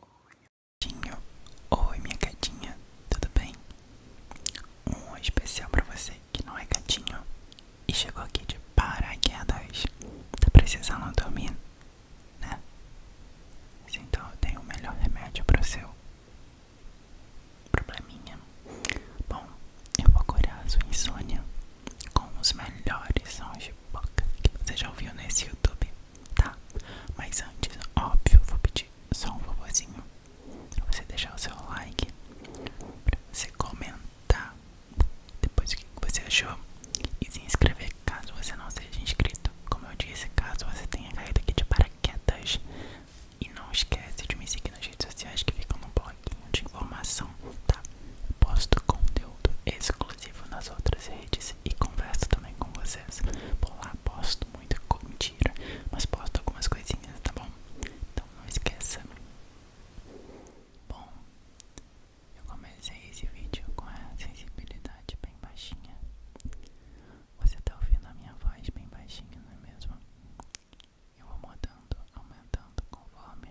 Oi, gatinho. Oi, minha gatinha. Tudo bem? Um especial pra você que não é gatinho e chegou aqui de paraquedas. Tá precisando dormir, né? Então eu tenho o melhor remédio pro seu probleminha. Bom, eu vou curar a sua insônia com os melhores sons de boca que você já ouviu nesse YouTube, tá? Mas antes, óbvio, vou pedir só um favorzinho pra você deixar o seu like, pra você comentar depois o que você achou e se inscrever caso você não seja inscrito. Como eu disse, caso você tenha caído aqui de paraquedas. E não esqueça de me seguir nas redes sociais que ficam no pouquinho de informação, tá? Posto conteúdo exclusivo nas outras redes e converso também com vocês. Por lá posto muita mentira, mas posto algumas coisinhas, tá bom? Então não esqueça. Bom, eu comecei esse vídeo com a sensibilidade bem baixinha. Você tá ouvindo a minha voz bem baixinha, não é mesmo? Eu vou mudando, aumentando conforme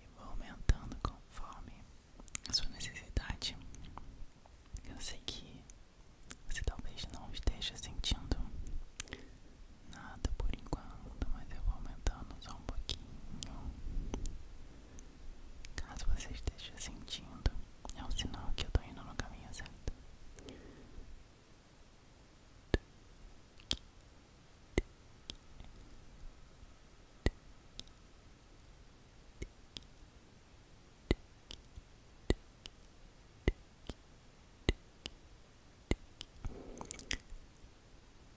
E vou aumentando conforme a sua necessidade. Eu sei que você talvez não esteja sentindo nada por enquanto, mas eu vou aumentando só um pouquinho. Caso você esteja sentindo, é um sinal que eu estou indo no caminho certo.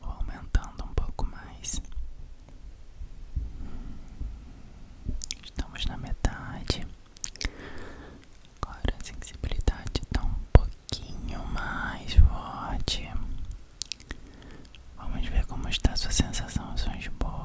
Vou aumentando um pouco mais. Estamos na metade. Agora a sensibilidade está um pouquinho mais forte. Vamos ver como está sua sensação aos sons de boca.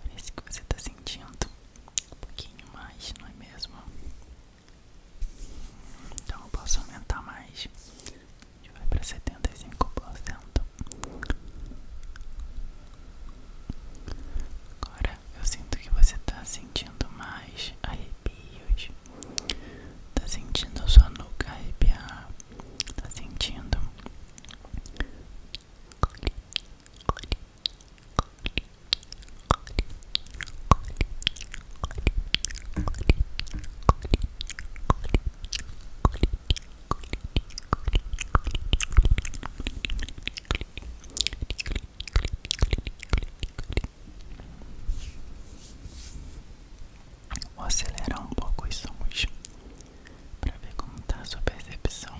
Parece que você tá sentindo um pouquinho mais, não é mesmo? Então eu posso aumentar mais. A gente vai para 75%. Agora eu sinto que você está sentindo mais arrepios. está sentindo a sua nuca arrepiar. está sentindo. Vou acelerar um pouco os sons para ver como tá a sua percepção.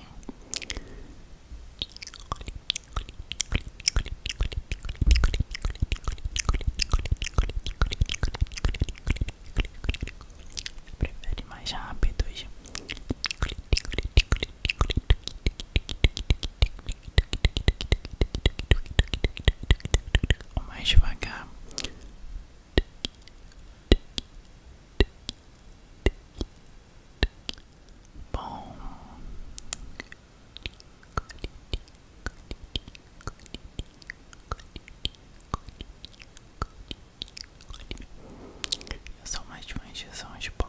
Prefere mais rápidos. Ou mais devagar. Bom. Só mais uma injeção de boca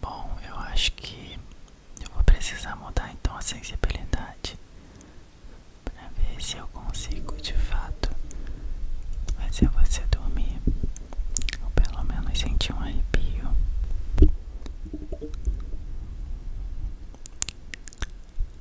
Bom, eu acho que eu vou precisar mudar então a sensibilidade para ver se eu consigo de fato fazer você dormir ou pelo menos sentir um arrepio.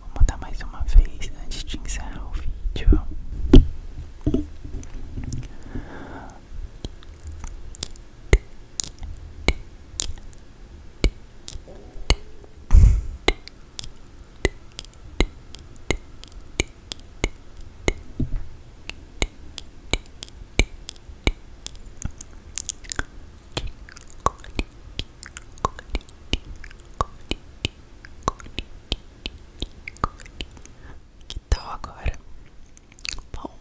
Vou matar mais uma vez antes de encerrar o vídeo. Que então, tal agora? Bom,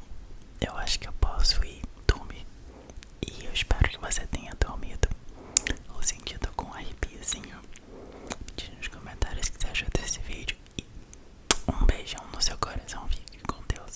eu acho que eu posso ir dormir. E eu espero que você tenha dormido ou sentido algum arrepiozinho. Diz nos comentários o que você achou desse vídeo. E um beijão no seu coração. Fique com Deus.